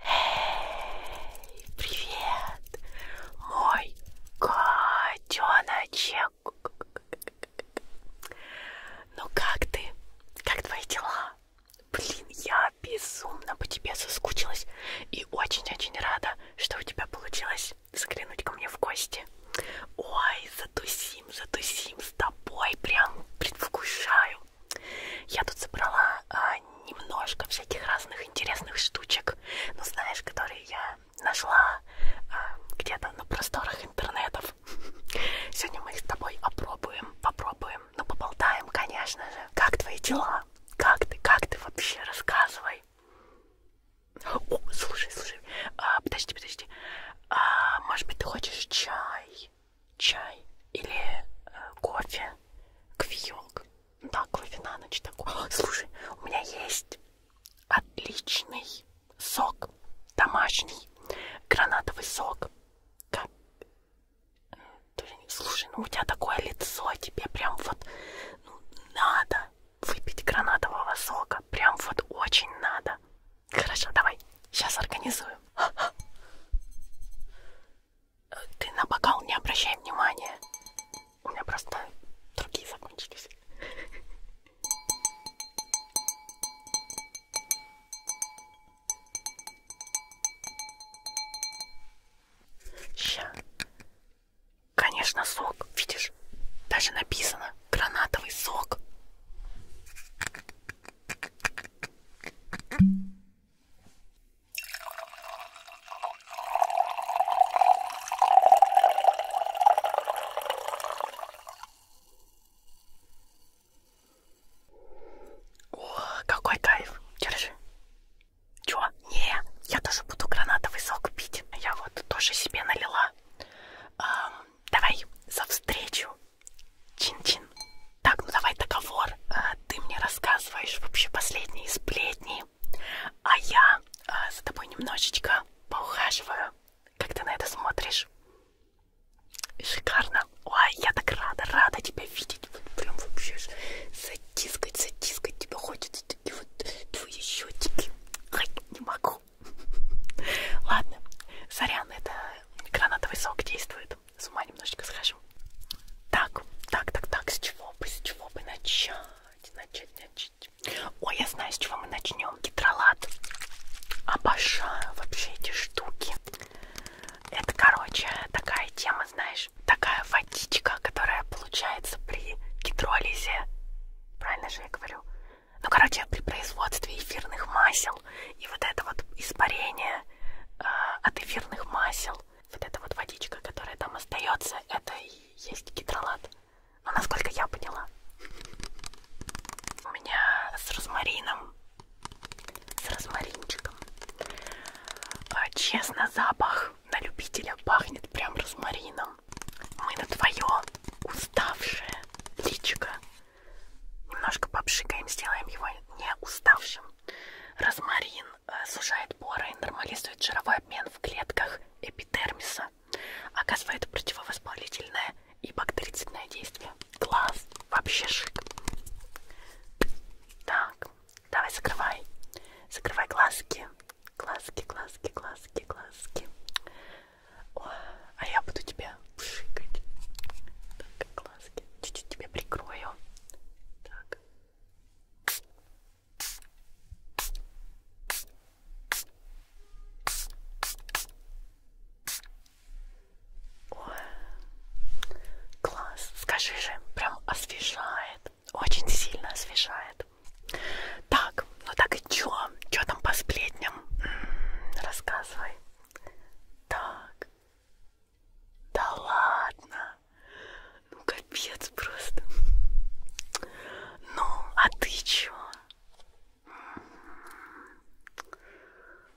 Эй, привет, мой котеночек. Ну как ты? Как твои дела? Блин, я безумно по тебе соскучилась и очень-очень рада, что у тебя получилось заглянуть ко мне в гости. Ой, затусим, затусим с тобой, прям предвкушаю расскажу. Я тут собрала а, немножко всяких разных интересных штучек, ну знаешь, которые я нашла а, где-то на просторах интернетов. Сегодня мы их с тобой опробуем, попробуем, ну поболтаем, конечно же. Как твои дела? Как ты? Как ты вообще? Рассказывай. О, слушай, слушай, а, подожди, подожди. А, может быть, ты хочешь чай? чай или э, кофе, кофеек. Да, кофе на ночь такой. О, слушай, у меня есть отличный сок, домашний гранатовый сок. Как? Э, слушай, ну у тебя такое лицо, тебе прям вот ну, надо выпить гранатового сока. Прям вот очень надо. Хорошо, давай, сейчас организуем. Ты на бокал не обращай внимания. У меня просто другие закончились. Ща. Конечно, сок. Видишь, даже написано гранатовый сок. О, какой кайф! Держи. Чё? Не, я тоже буду гранатовый сок пить. Я вот тоже себе налила. Эм, давай за встречу. Чин-чин. Так, ну давай договор. А, ты мне рассказываешь вообще последние сплетни, а я а, за тобой немножечко поухаживаю. Как ты на это смотришь? Шикарно. Ой, я так рада, рада тебя видеть. Вот прям вообще затискать, затискать тебя хочется. Такие вот твои щетики. Ай, не могу. Ладно, сорян, это гранатовый сок действует с ума немножечко схожу. Так, так, так, так, с чего бы, с чего бы начать, начать, начать. Ой, я знаю, с чего мы начнем. Гидролат. Обожаю вообще эти штуки. Это, короче, такая тема, знаешь, такая водичка, которая получается при гидролизе. Правильно же я говорю? Ну, короче, при производстве эфирных масел и вот это вот испарение э, от эфирных масел вот эта вот водичка, которая там остается, это и есть гидролат. Но насколько я поняла. У меня с розмарином, с розмаринчиком. А, честно, запах на любителя пахнет прям розмарином. Мы на твое уставшее личико немножко попшикаем, сделаем его не уставшим. Розмарин Э, сужает поры и нормализует жировой обмен в клетках эпидермиса, оказывает противовоспалительное и бактерицидное действие. Класс! Вообще шик! Так, давай закрывай. Закрывай глазки. Глазки, глазки, глазки, глазки. О, а я буду тебя пшикать. Так, глазки. Чуть-чуть тебя прикрою. Так, Ой, класс, скажи же, прям освежает, очень сильно освежает. Так, ну так и чё? Чё там по сплетням? М -м, рассказывай. Так, да ладно. Ну капец просто. Ну, а ты чё?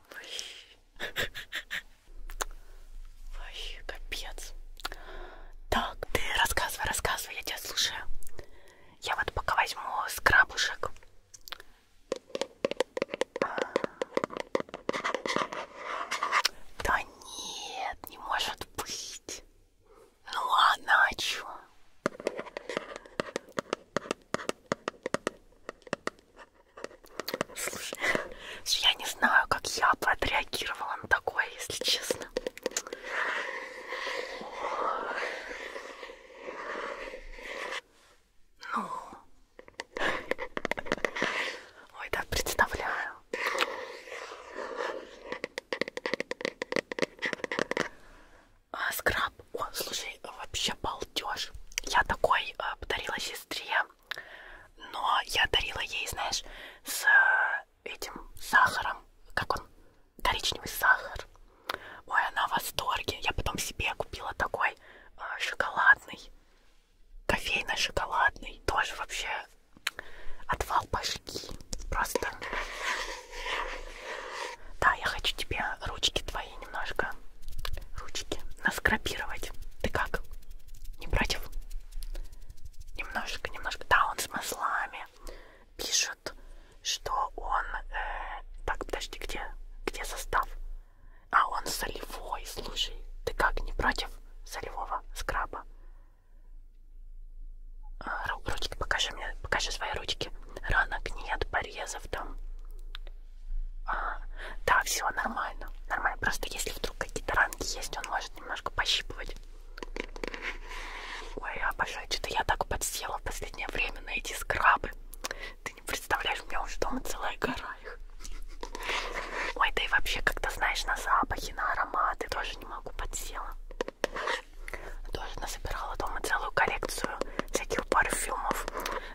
Вообще. Вообще капец. Так, ты рассказывай, рассказывай, я тебя слушаю. Я вот пока возьму скрабушек. Да нет, не может быть. Ну ладно, а чё? Слушай, я не знаю, как я бы отреагировала на такое, если честно. Ну. Ой, да, представляю. А, скраб. О, слушай, вообще балдеж. Я такой а, подарила сестре, но я дарила ей, знаешь, с э, этим сахаром, как он, коричневый сахар. Ой, она в восторге. Я потом себе купила такой э, шоколадный кофейно-шоколадный, тоже вообще отвал башки, просто. Да, я хочу тебе ручки твои немножко, ручки, наскрапировать. Ты как? Не против? Немножко, немножко. Да, он с маслами. Пишут, что он... Э, так, подожди, где? Где состав? А, он солевой, слушай. Ты как, не против солевого скраба? Ручки, покажи мне, покажи свои ручки. Ранок нет, порезов там. А, да, все нормально. Нормально. Просто если вдруг какие-то ранки есть, он может немножко пощипывать. Ой, я обожаю, что-то я так подсела в последнее время на эти скрабы. Ты не представляешь, у меня уже дома целая гора их. Ой, да и вообще, как-то знаешь, на запахи, на ароматы тоже не могу подсела. Тоже насобирала дома целую коллекцию всяких парфюмов.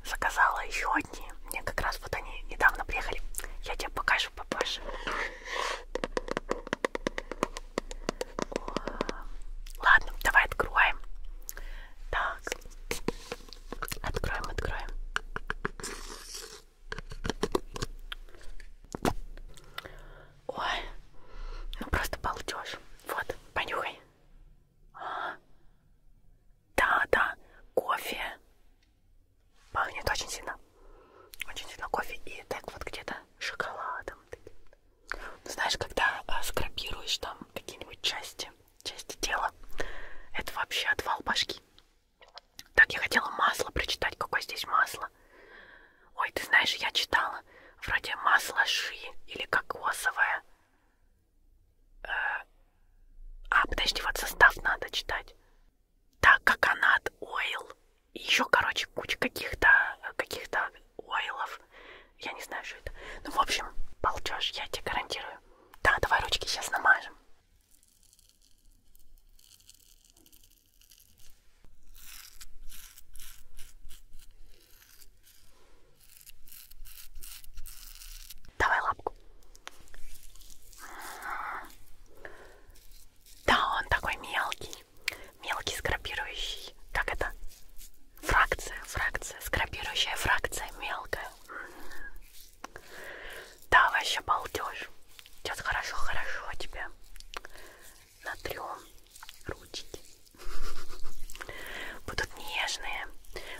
Заказала еще одни. Мне как раз вот они недавно приехали. Я тебе покажу попозже. Ладно, давай откроем. Так. Откроем, откроем. Ой, ну просто балдеж. Вот, понюхай. А, да, да, кофе. Пахнет очень сильно. Очень сильно кофе и так вот где-то шоколадом. Ну, знаешь, когда а, скрапируешь там какие-нибудь части, части тела, это вообще отвал башки. Так, я хотела масло прочитать. Какое здесь масло? Ой, ты знаешь, я читала. Вроде масло ши или кокосовое. Э, а, подожди, вот состав надо читать. Да, коконат, ойл. И еще, короче, куча каких-то каких-то ойлов. Я не знаю, что это. Ну, в общем, полчешь, я тебе гарантирую. Да, давай ручки сейчас намажем. Давай лапку. Да, он такой мелкий, мелкий скрабирующий. Как это? Фракция, фракция, скрабирующая фракция мелкая. Да, вообще балдеж. Сейчас хорошо-хорошо тебе натрем ручки. Будут нежные.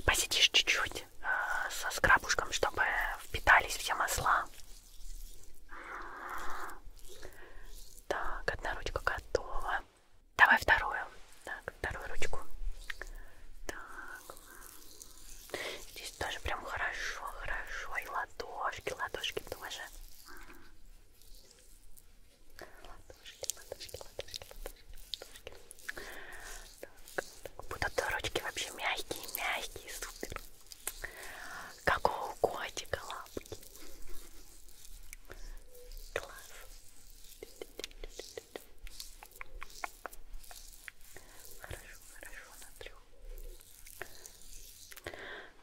Посидишь чуть-чуть э, со скрабушком, чтобы впитались все масла. М-м-м. Так, одна ручка готова. Давай вторую. Так, вторую ручку. Так. Здесь тоже прям хорошо, хорошо. И ладошки, ладошки тоже. Ладошки, ладошки, ладошки, ладошки, ладошки. Так, будут ручки вообще мягкие, мягкие, супер. Как у котика лапки. Класс. Хорошо, хорошо, натрю.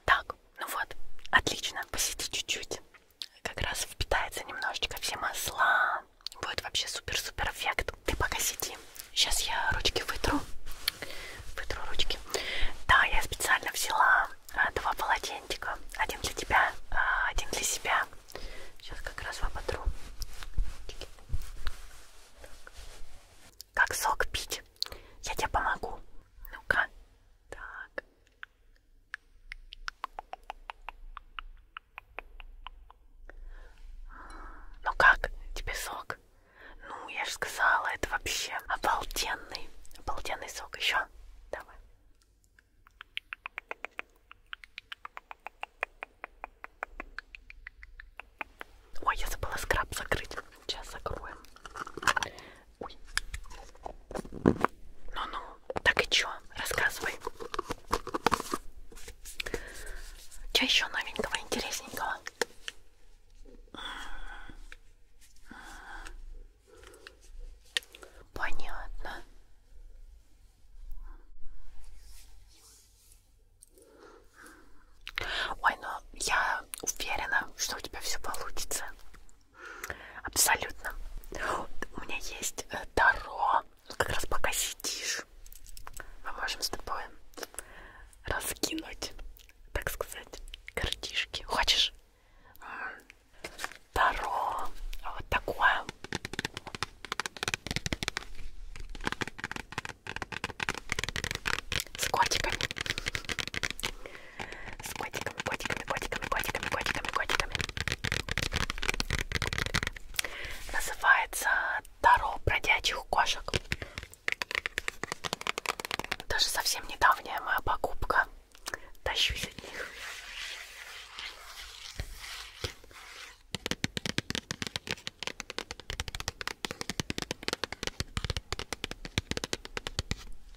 Так, ну вот, отлично, посиди чуть-чуть. Как раз впитается немножечко все масла. Будет вообще супер-супер эффект. Ты пока сиди. Сейчас я ручки вытру. Вытру ручки. Да, я специально взяла а, два полотенчика. Один для тебя, а, один для себя. Сейчас как раз вам отру. Как сок пить. Я тебе помогу. Ну-ка. Так. Ну как? Тебе сок? Ну, я же сказала, это вообще обалденный, обалденный сок. Еще? Давай. Ой, я забыла скраб закрыть. Сейчас закроем. Ой. Ну-ну, так и чё? Рассказывай. Чё еще новенького, интересненького? Понятно. Ой, ну я уверена, что у тебя все получится. Абсолютно. У меня есть э, Таро. Как раз пока сидишь, мы можем с тобой раскинуть, так сказать, картишки. Хочешь? Таро. Вот такое. С котиками. С котиками, котиками, котиками, котиками, котиками, котиками. Называется Таро бродячих кошек. Даже совсем недавняя моя покупка. Тащусь от них.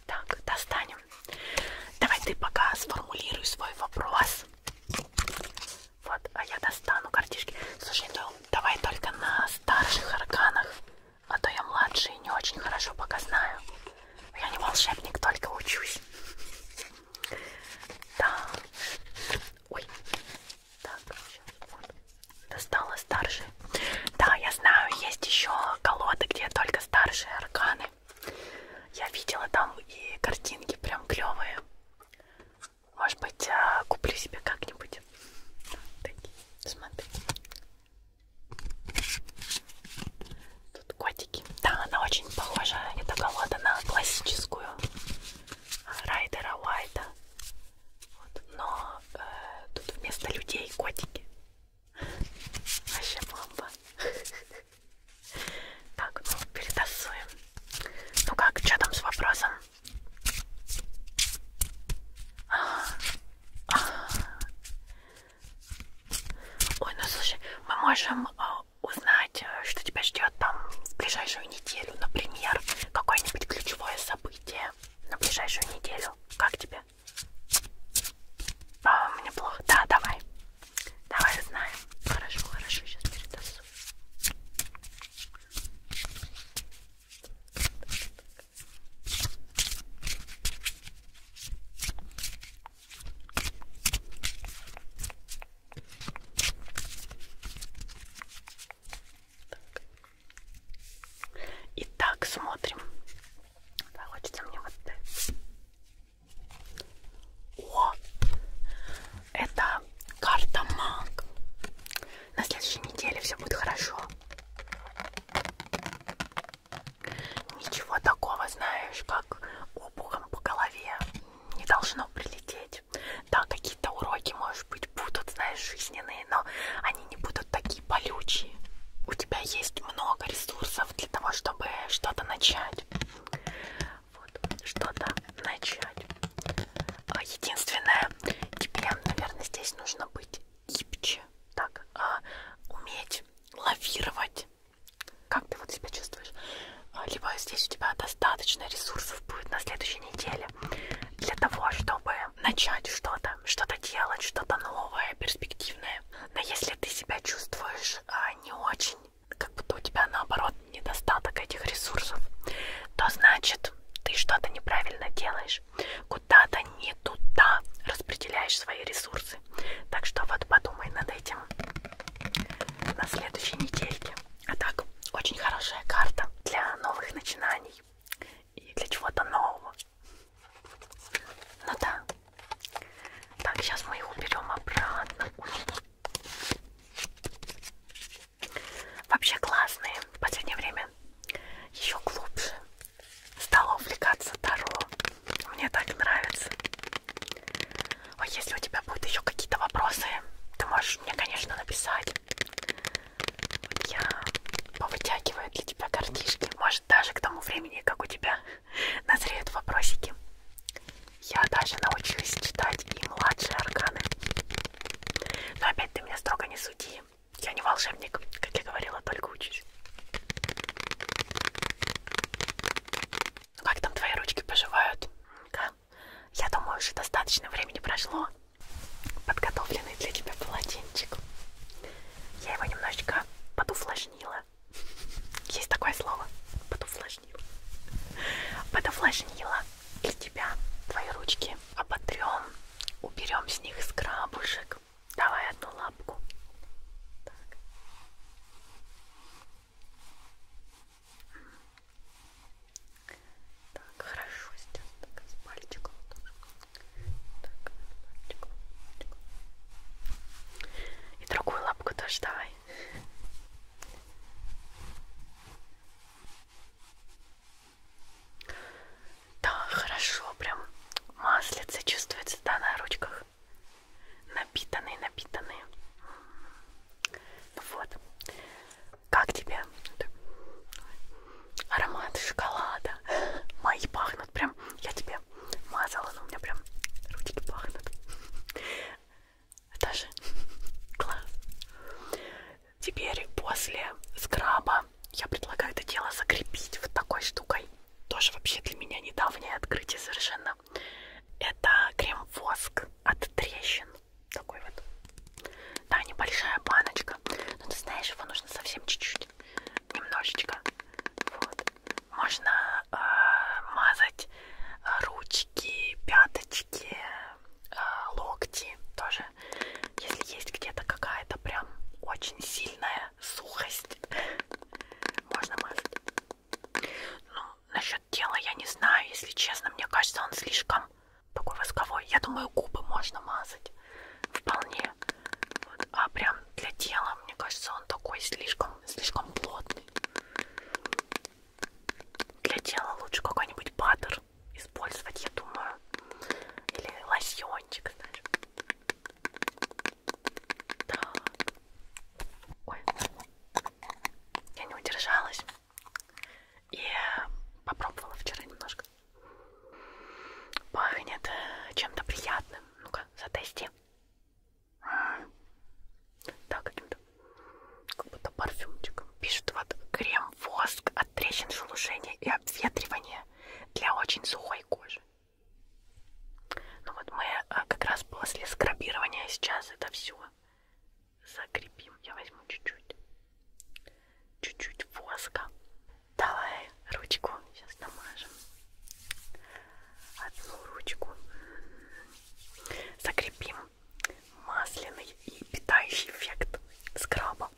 Так, достанем. Давай ты пока сформулируй свой вопрос. Вот, а я достану картишки. Слушай, ну, давай только на старших арканах, а то я младшие не очень хорошо пока знаю. Я не волшебник, только учусь. Так. Ой. Так, сейчас вот достала старшие. Да, я знаю, есть еще колоды, где только старшие арканы. Я видела там и картинки прям клевые. Может быть, э, куплю себе как-нибудь. Такие, смотри. Тут котики. Да, она очень похожа, эта колода, на классическую Райдера Уайта. Вот. Но э, тут вместо людей котики. Вообще бомба. Так, ну перетасуем. Ну как, что там с вопросом? Ой, ну слушай, мы можем э, узнать, э, что тебя ждет там в ближайшую неделю, например, какое-нибудь ключевое событие на ближайшую неделю. Как тебе? тебе? А, мне плохо. Да, давай. Давай знаем. Хорошо, хорошо, сейчас передасу. Так. Итак, смотрим. Да, хочется мне вот это. О! Это карта маг. На следующей неделе все будет хорошо. Ничего такого, знаешь, как обухом по голове не должно прилететь. Да, какие-то уроки, может быть, будут, знаешь, жизненные, но они они не будут такие болючие. У тебя есть много ресурсов для того, чтобы что-то начать. Вот, что-то начать. А, единственное, тебе, наверное, здесь нужно быть гибче. Так, а, уметь лавировать. Как ты вот себя чувствуешь? А, либо здесь у тебя достаточно ресурсов будет на следующей неделе для того, чтобы начать что-то, что-то делать, что-то новое, перспективное. Но если ты себя чувствуешь а, не очень, как будто у тебя наоборот недостаток этих ресурсов, то значит ты что-то неправильно делаешь, куда-то не туда распределяешь свои ресурсы. Так что вот подумай над этим на следующей недельке. А так, очень хорошая карта для новых начинаний и для чего-то нового. Ну да. Так, сейчас мы их уберем обратно. Вообще классные в последнее время. Еще глубже. Стала увлекаться Таро. Мне так нравится. А если у тебя будут еще какие-то вопросы, ты можешь мне, конечно, написать я повытягиваю для тебя картишки. Может, даже к тому времени, как у тебя назреют вопросики. Я даже научусь читать и младшие арканы. Но опять ты меня строго не суди. Я не волшебник, как я говорила, только учусь. Ну, как там твои ручки поживают? Да? Я думаю, уже достаточно времени прошло. Подготовленный для тебя полотенчик. Я его немножечко подуфлажнила. Есть такое слово. Подуфлажнила. Подуфлажнила. И тебя, твои ручки оботрем. Уберем с них скрабушек. Давай одну лапку. Так. Так, хорошо, сейчас так, с пальчиком тоже. Так, пальчиком, пальчиком. И другую лапку тоже давай. Да, хорошо, прям маслица чувствуется, да, на ручках. Напитанные, напитанные. Ну вот. Как тебе? аромат шоколада. Мои пахнут прям. Я тебе мазала, но у меня прям ручки пахнут. Это же класс. Теперь после скраба я предлагаю это дело закрепить вот такой штукой. Тоже вообще для меня недавнее открытие совершенно. Это крем-воск от трещин. Такой вот. Да, небольшая баночка. Но ты знаешь, его нужно совсем чуть-чуть. Немножечко. Вот. Можно э, мазать э, ручки, пяточки, э, локти тоже. Если есть где-то какая-то прям очень сильная сухость, можно мазать. Ну, насчет тела я не знаю, если честно. Мне кажется, он слишком такой восковой. Я думаю, губы можно мазать. Вполне вот. А прям для тела, мне кажется, он такой слишком, слишком плотный. Для тела лучше какой-нибудь паттер использовать, я думаю. Или лосьончик, знаешь. Так. Ой. Я не удержалась. И попробовала вчера немножко. Пахнет э, чем-то приятным. Ну-ка, затести. Да, каким-то как будто парфюмчиком. Пишут вот крем-воск от трещин шелушения и обветривания для очень сухой кожи. Ну вот мы а, как раз после скрабирования сейчас это все закрепим. Я возьму чуть-чуть. Чуть-чуть воска. Давай ручку, сейчас намажем. Одну ручку закрепим масляный и питающий эффект скраба.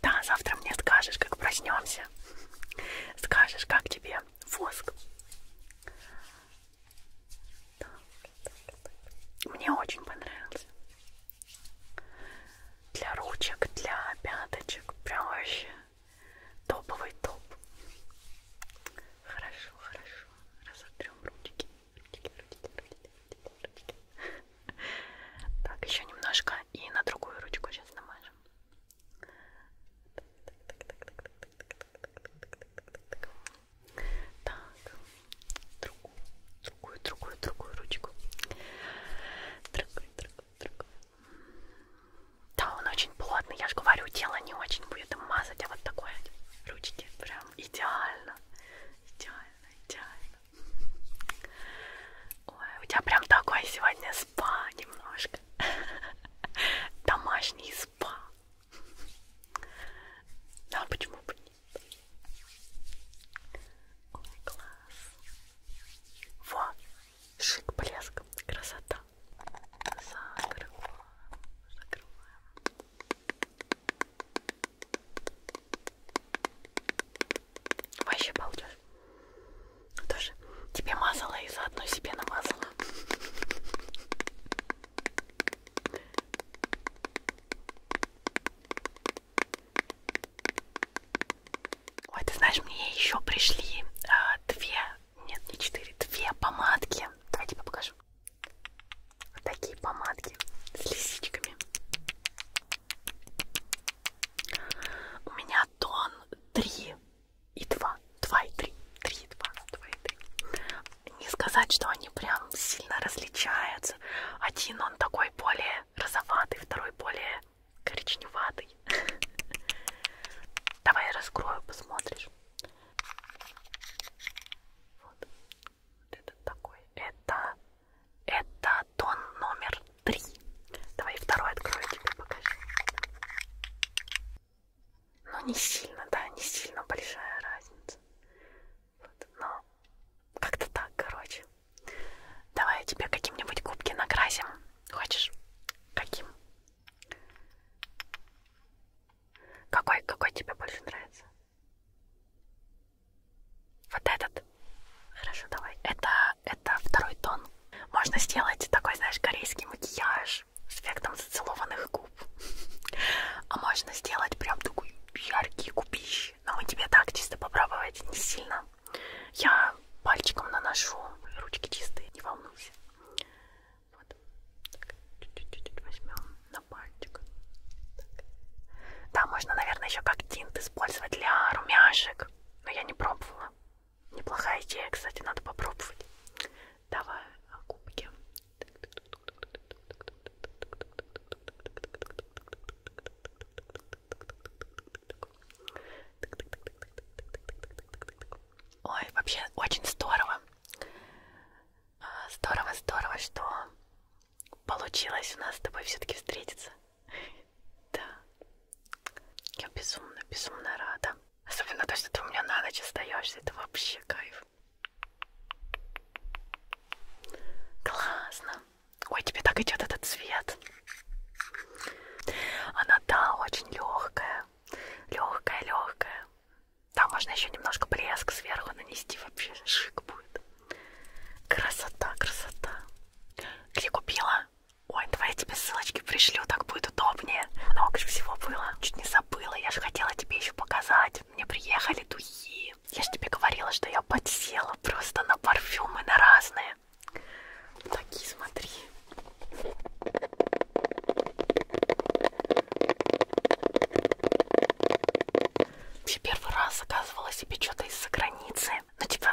Да, завтра мне скажешь, как проснемся. Скажешь, как тебе воск. Мне очень понравился для ручек, для пяточек, прям вообще топовый топ. Хорошо, хорошо, разотрем ручки. ручки, ручки, ручки, ручки. Так, еще немножко и на другую ручку сейчас намажем. Так, другую, другую, другую, другую ручку. Другую, другую, другую. Да, он очень плотный, я же говорю, тело не очень будет мазать, а вот такой ручки прям идеально, идеально, идеально. Ой, у тебя прям такой сегодня спа немножко, домашний спа. Да, почему бы нет? Ой, класс. Во! Шик, блеск, красота. Закрываем, закрываем. Вообще балдеж. Ну тоже тебе мазала и заодно себе намазала. Ой, ты знаешь, мне еще пришли э, две, нет, не четыре, две помадки. Давай тебе покажу. Вот такие помадки с лисичками. У меня тон 3 и 2. 2 и 3. 3 и 2. 2 и 3. Не сказать, что они прям сильно различаются. Один он такой более розоватый, второй второй более коричневатый. Давай я раскрою, посмотришь. Вот. Это такой. Это, это тон номер три. Давай второй открою тебе покажу. Ну не сильно, да, не сильно большая разница. Вот. Но как-то так, короче. Давай я тебе каким-нибудь губки накрасим. Хочешь? Каким? Какой, какой тебе больше нравится? Вот этот? Хорошо, давай. Это, это второй тон. Можно сделать такой, знаешь, корейский макияж с эффектом зацелованных губ. А можно сделать прям такой яркий купищ. Но мы тебе так чисто попробовать не сильно. Я пальчиком наношу, ручки чистые, не волнуйся. Вот. Чуть-чуть возьмем на пальчик. Так. Да, можно, наверное, еще как тинт использовать для румяшек. Но я не пробовала. Неплохая идея, кстати, надо попробовать. Давай губки. А, Ой, вообще очень здорово. А, здорово, здорово, что получилось у нас с тобой все-таки встретиться. Да. Я безумно, безумно рада. Особенно то, что ты у меня на ночь остаешься. Это вообще кайф. Классно. Ой, тебе так идет этот цвет. Она, да, очень легкая. Легкая, легкая. Там можно еще немножко блеск сверху нанести. Вообще шик будет. Красота, красота. Где купила? Ой, давай я тебе ссылочки пришлю, так будет удобнее. Много же всего было. Чуть не забыла, я же хотела тебе еще показать. Мне приехали духи. Я же тебе говорила, что я подсела просто на парфюмы, на разные красивые. Такие, смотри. Вообще первый раз заказывала себе что-то из-за границы. Ну, типа,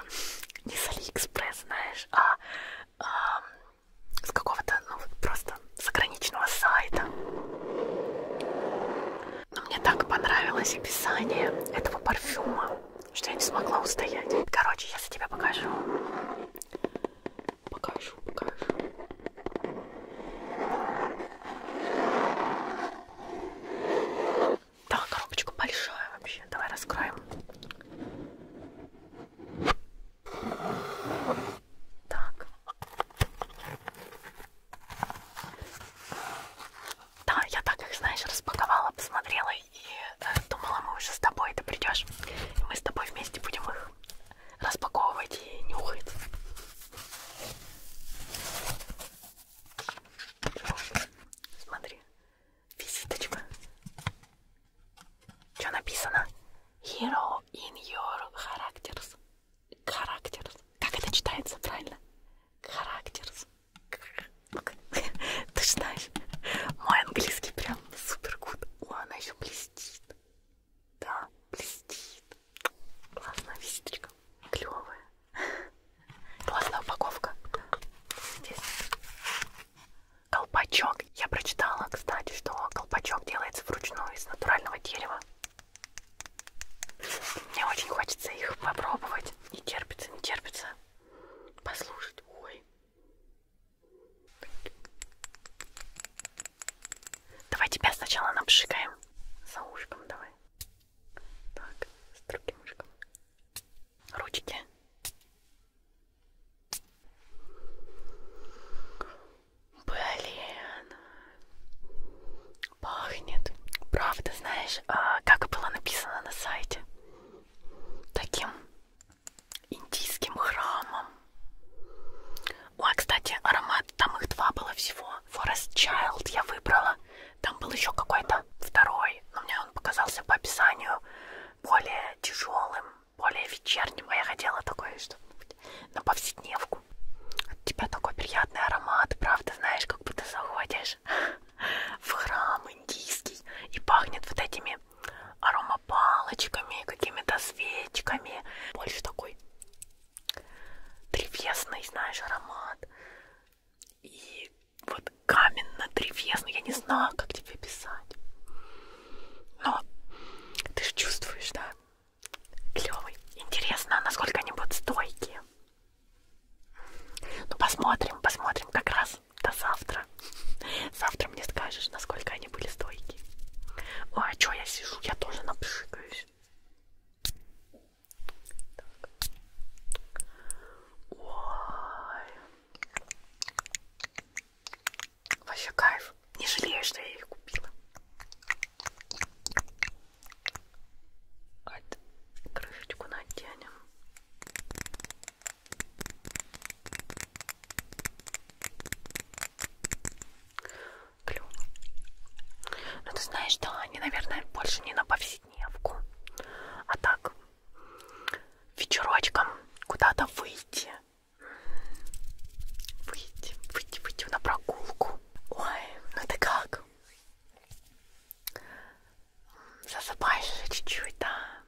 не с Алиэкспресс, знаешь, а, а с какого-то, ну, просто заграничного сайта. Но мне так понравилось описание этого парфюма что я не смогла устоять. Короче, я за тебя покажу. Покажу, покажу. Да, коробочка большая вообще. Давай раскроем. Так. Да, я так их, знаешь, распаковала, посмотрела и э, думала, мы уже с тобой, ты придешь, и мы с тобой вместе будем их распаковывать и нюхать. Смотри, визиточка. Что написано? Hero in your characters. Characters. Как это читается, правильно? Characters. Ты же знаешь, мой английский прям супер гуд. О, она еще блестит. Да, блестит. Классная висечка. Клевая. Классная упаковка. Здесь колпачок. Я прочитала, кстати, что колпачок делается вручную из натурального дерева. Мне очень хочется их попробовать. Не терпится, не терпится послушать. Ой. Давай тебя сначала напшикаем. За ушком давай. Так, с другим ушком. Ручки. Блин. Пахнет. Правда, знаешь, а, как было написано на сайте таким индийским храмом. Ой, а, кстати, аромат, там их два было всего. Forest Child я выбрала. Там был еще какой-то второй, но мне он показался по описанию более тяжелым, более вечерним, а я хотела такое что-нибудь на повседневку. От тебя такой приятный аромат, правда, знаешь, как будто заходишь идешь в храм индийский и пахнет вот этими аромапалочками, какими-то свечками. Больше такой древесный, знаешь, аромат. И вот каменно-древесный. Я не знаю, как тебе писать. Но ты же чувствуешь, да? Клевый. Интересно, насколько они будут стойкие. Ну посмотрим, посмотрим как раз до завтра. Завтра мне скажешь, насколько они были стойкие. Ой, а что я сижу? Я тоже напшикаюсь. Так. Ой. Вообще кайф. Не жалею, что я их купила. Крышечку наденем. Клево. Ну ты знаешь, да, они, наверное, больше не на повседневку, а так вечерочком куда-то выйти. Выйти, выйти, выйти на прогулку. Ой, ну ты как? Засыпаешь чуть-чуть, да?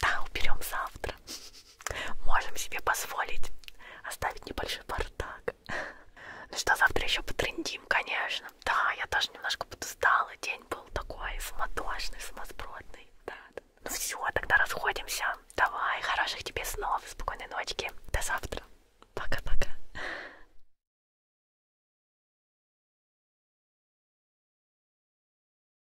Да, уберем завтра. Можем себе позволить оставить небольшой бардак. Ну что, завтра еще потрендим, конечно. Да, я тоже немножко подустала. День был такой самотошный, самосбродный. Да, да. Ну все, тогда расходимся. Давай, хороших тебе снов, спокойной ночки. До завтра. Пока-пока.